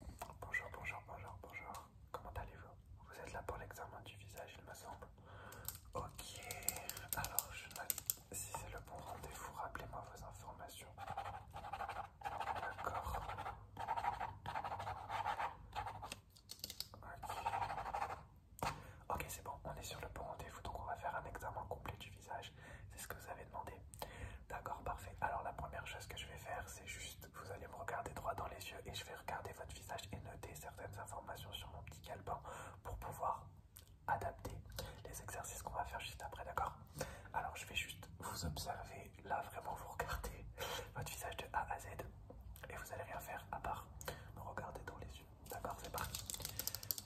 Bonjour, bonjour, bonjour, bonjour. Comment allez-vous Vous êtes là pour l'examen du visage, il me semble. Ok, alors je note si c'est le bon rendez-vous, rappelez-moi vos informations. D'accord. Ok, c'est bon, on est sur le bon rendez-vous, donc on va faire un examen complet du visage. C'est ce que vous avez demandé, D'accord, parfait. Alors la première chose que je vais faire, c'est juste, vous allez me regarder droit dans les yeux et je vais regarder votre visage et noter certaines informations sur mon petit calepin pour pouvoir adapter les exercices qu'on va faire juste après, d'accord Alors je vais juste vous observer, là vraiment vous regarder, votre visage de A à Z et vous allez rien faire à part me regarder dans les yeux, d'accord C'est parti.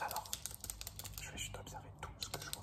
Alors, je vais juste observer tout ce que je vois.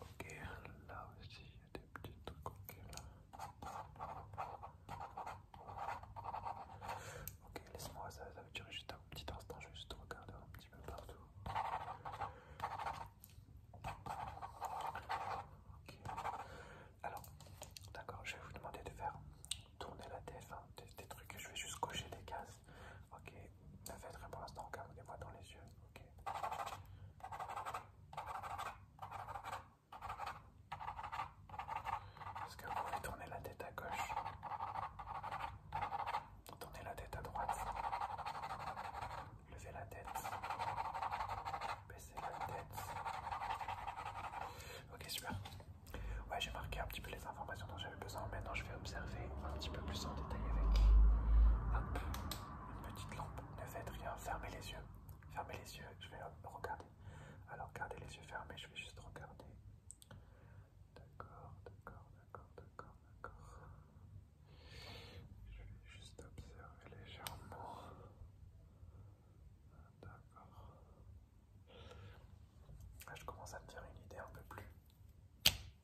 Ok, là aussi il y a des petits trucs. Ok, Ok, laisse-moi ça, ça va durer juste un petit instant, je vais juste regarder un petit peu partout. Ok. Alors, d'accord, je vais vous demander de faire tourner la tête, des, trucs, je vais juste cocher des cases. Ok, ne faites rien pour l'instant, regardez-moi dans les yeux. Ok, est-ce que vous pouvez tourner la tête à gauche Tourner la tête à droite. Levez la tête. Baissez la tête. Ok, super. Ouais, j'ai marqué un petit peu les informations dont j'avais besoin. Maintenant, je vais observer un petit peu plus en détail avec. Hop une petite lampe, ne faites rien, fermez les yeux, fermez les yeux, je vais regarder. Alors gardez les yeux fermés, je vais juste regarder. D'accord, d'accord, d'accord, d'accord, d'accord. Je vais juste observer légèrement. D'accord. Ah, je commence à me dire une idée un peu plus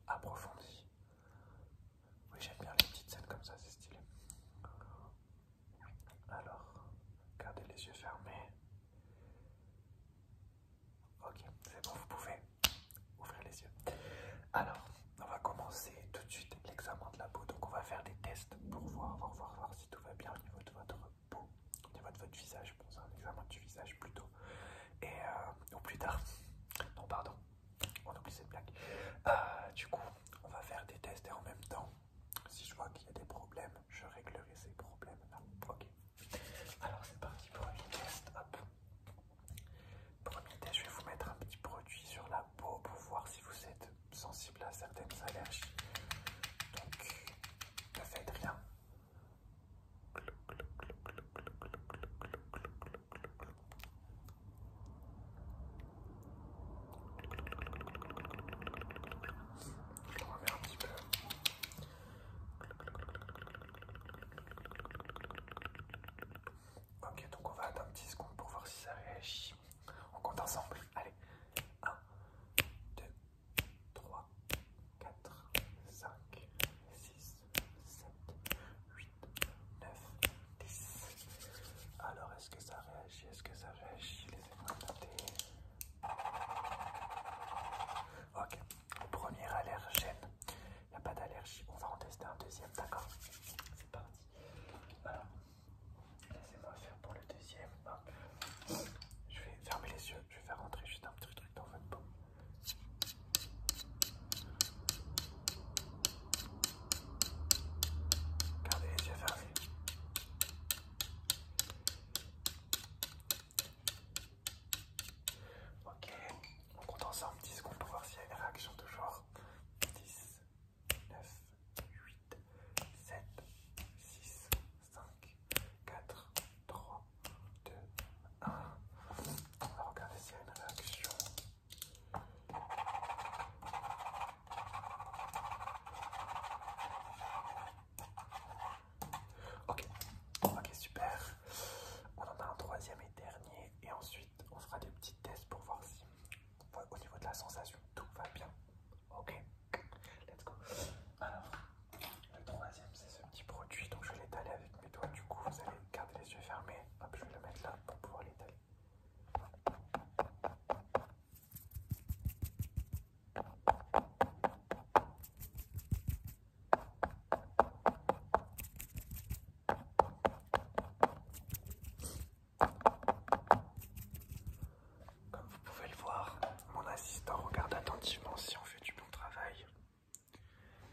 approfondie oui, j'aime bien les petites scènes comme ça, c'est stylé. Alors, gardez les yeux fermés. Ok, c'est bon, vous pouvez ouvrir les yeux. Alors, on va commencer tout de suite l'examen de la peau. Donc, on va faire des tests pour voir, voir, voir, voir si tout va bien au niveau de votre peau, au niveau de votre visage. Bon, c'est un examen du visage plutôt. Et au euh, plus tard. Non, pardon, on oublie cette blague. Euh, du coup, on va faire des tests et en même temps, si je vois qu'il y a des problèmes, je réglerai ces problèmes-là. Ok. Alors c'est parti pour un test. Premier test, je vais vous mettre un petit produit sur la peau pour voir si vous êtes sensible à certaines allergies. Donc ne faites rien. Je un petit peu. Ok, donc on va attendre petit secondes pour voir si ça réagit. On compte ensemble. Allez, 1, 2, 3, 4, 5, 6, 7, 8, 9, 10. Alors, est-ce que ça réagit Est-ce que ça réagit Ok, premier allergène. Il n'y a pas d'allergie. On va en tester un deuxième, d'accord C'est parti. Alors, laissez-moi faire pour le deuxième. Je vais fermer les yeux. Je vais faire rentrer juste un petit truc dans votre peau. Gardez les Ok, on compte ensemble 10 secondes pour voir s'il y a une réaction genre 10, 9, 8, 7, 6, 5, 4, 3, 2, 1. On va regarder s'il y a une réaction. Ok, ok, super. On en a un troisième et dernier, et ensuite on fera des petits tests pour voir si au niveau de la sensation tout va bien. Ok, let's go. Alors. Le troisième, c'est ce petit produit. Donc, je vais l'étaler avec mes doigts. Du coup, vous allez garder les yeux fermés. Hop, je vais le mettre là pour pouvoir l'étaler. Comme vous pouvez le voir, mon assistant regarde attentivement si on fait du bon travail.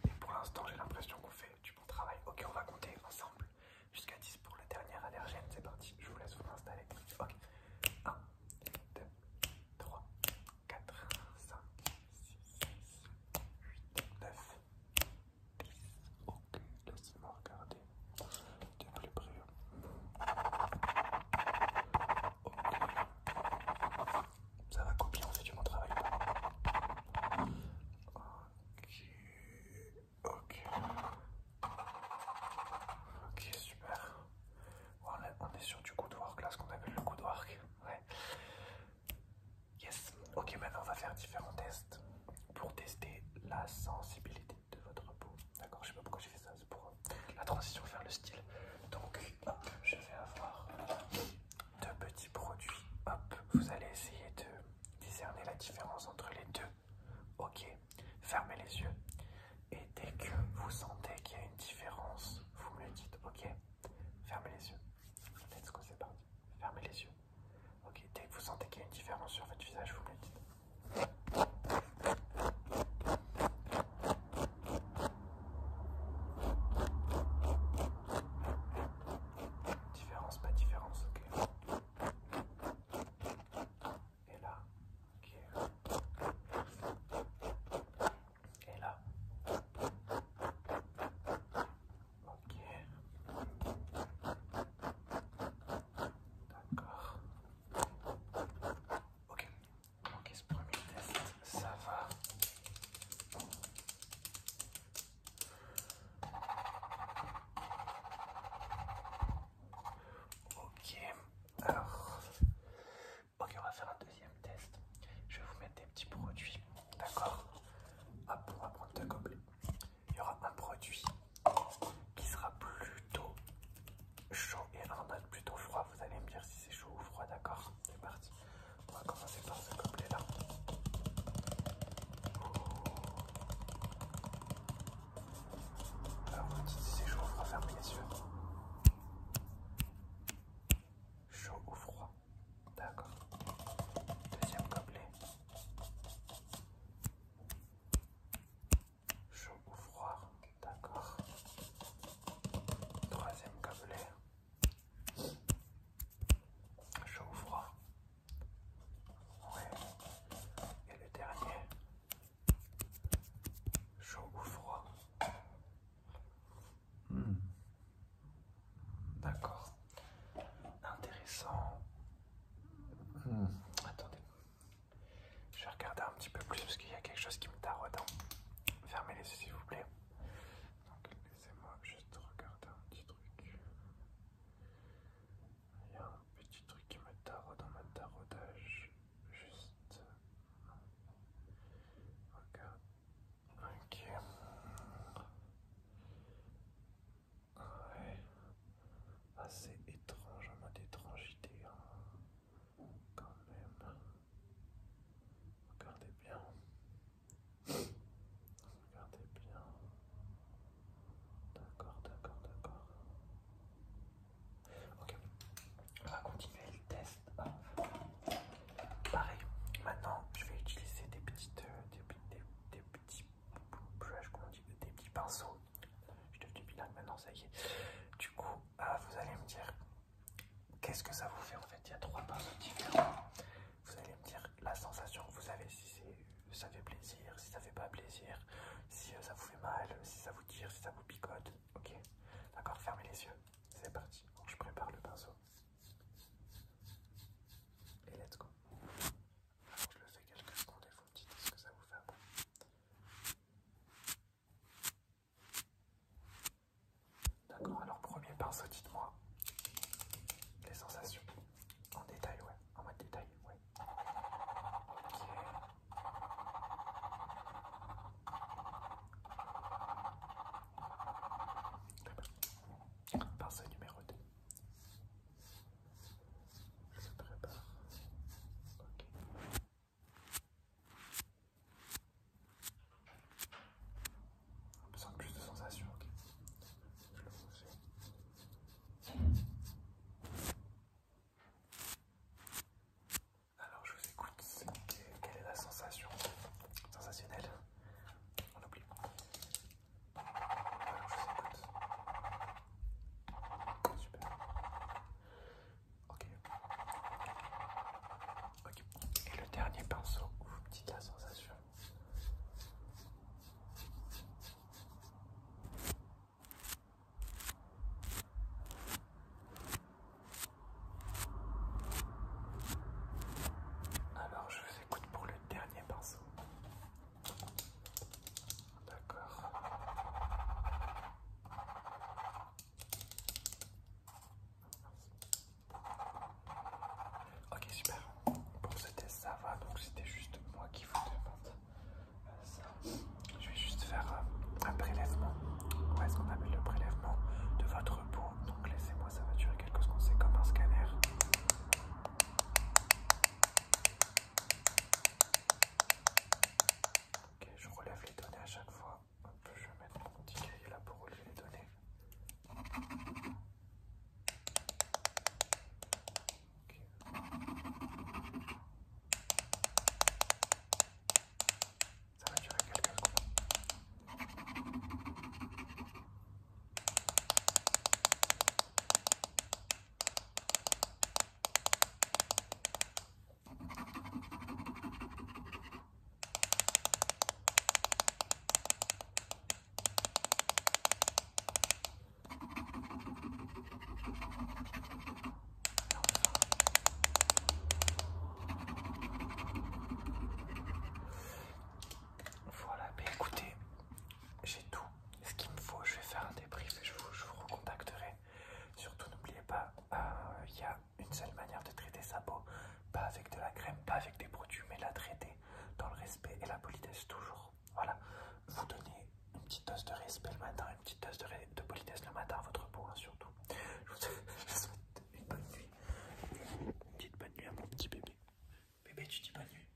Et pour l'instant, j'ai l'impression qu'on fait du bon travail. Ok, on va compter ensemble jusqu'à 10 pour la dernière allergène. C'est parti, je vous laisse vous installer. Ok, 1, 2, 3, 4, 5, 6, 7, 8, 9, 10. Ok, laissez-moi regarder de plus près. Ok. Ça va copier, on fait du bon travail. Ok, ok. Ok, super. on est sur du good work, là, ce qu'on appelle le good work. Ouais. Yes. Ok, maintenant on va faire différents tests pour tester la sensibilité de votre peau. D'accord, je sais pas pourquoi j'ai fait ça, c'est pour la transition vers le style. Donc, je vais avoir deux petits produits. Hop, vous allez essayer de discerner la différence entre les deux. Ok, fermez les yeux. Et dès que vous sentez qu'il y a une différence, vous me le dites. Ok, fermez les yeux. Let's go, c'est parti. Fermez les yeux. Ok, dès que vous sentez qu'il y a une différence sur votre visage, vous me le dites. Différence, pas différence, ok. Et là, ok. Et là. Ok. D'accord. Ok, Ok, ce premier test, ça va. Ok, alors, ok, on va faire un deuxième test. Je vais vous mettre des petits produits, d'accord Hop, on va prendre deux Il y aura un produit qui sera plutôt chaud et en mode plutôt froid. Vous allez me dire si c'est chaud ou froid, d'accord C'est parti. On va commencer par ce gobelet là. Oh. Alors vous me dites si c'est chaud ou froid, fermez les yeux. Chaud ou froid D'accord. Deuxième gobelet chaud ou froid, d'accord. Troisième gobelet, chaud ou froid. Ouais. Et le dernier, chaud ou froid. D'accord. Intéressant. Hmm. Attendez. Je vais regarder un petit peu plus parce qu'il y a quelque chose qui me taraude. Hein. Fermez les yeux s'il vous plaît. Donc laissez-moi juste regarder un petit truc. Il y a un petit truc qui me taraude dans ma taraudage. Juste. OK. Ok. Ouais. Assez étrange, en mode étrangité. Hein quand même. Regardez bien. Regardez bien. D'accord, d'accord, d'accord. Ok, on va continuer le test. Pareil, maintenant je vais utiliser des petites, euh, des, des petits, des petits pinceaux je te du maintenant, ça y est. Du coup, euh, vous allez me dire qu'est-ce que ça vous fait en fait. Il y a trois pinceaux différents. Vous allez me dire la sensation vous avez, si ça fait plaisir, si ça fait pas plaisir, si euh, ça vous fait mal, si ça vous tire, si ça vous picote. Ok D'accord Fermez les yeux. C'est parti. je prépare le pinceau. Et let's go. je le fais quelques secondes et vous me dites ce que ça vous fait. D'accord, alors premier pinceau, dites-moi les sensations en détail, ouais, en mode détail, ouais. OK Pinceau numéro 2. Ok. On a besoin de plus de sensations, ok Alors je vous écoute, quelle est la sensation Sensationnelle On oublie. Alors je vous écoute. Super. Ok. Et le dernier pinceau, vous dites la sensation. Alors je vous écoute pour le dernier pinceau. D'accord. Ok, super. Pour ce ça va. Donc, c'était juste moi qui vous demande ça. Je vais juste faire euh, un prélèvement. Ouais, ce qu'on appelle le prélèvement de votre peau. Donc, laissez-moi, ça va durer quelques secondes. C'est comme un scanner. Ok, je relève les données à chaque fois. je vais mettre mon petit cahier là pour relever les données. Ça va durer quelques secondes. Voilà, ben écoutez, j'ai tout ce qu'il me faut, je vais faire un débrief et je vous, je vous recontacterai. Surtout, n'oubliez pas, euh, il y a une seule manière de traiter sa peau, pas avec de la crème, pas avec des produits, mais la traiter dans le respect et la politesse toujours. Voilà, vous donnez une petite dose de respect le matin, une petite dose de, politesse le matin à votre peau, hein, surtout. Je vous souhaite une bonne nuit, une petite bonne nuit à mon petit bébé. Bébé, tu dis bonne nuit.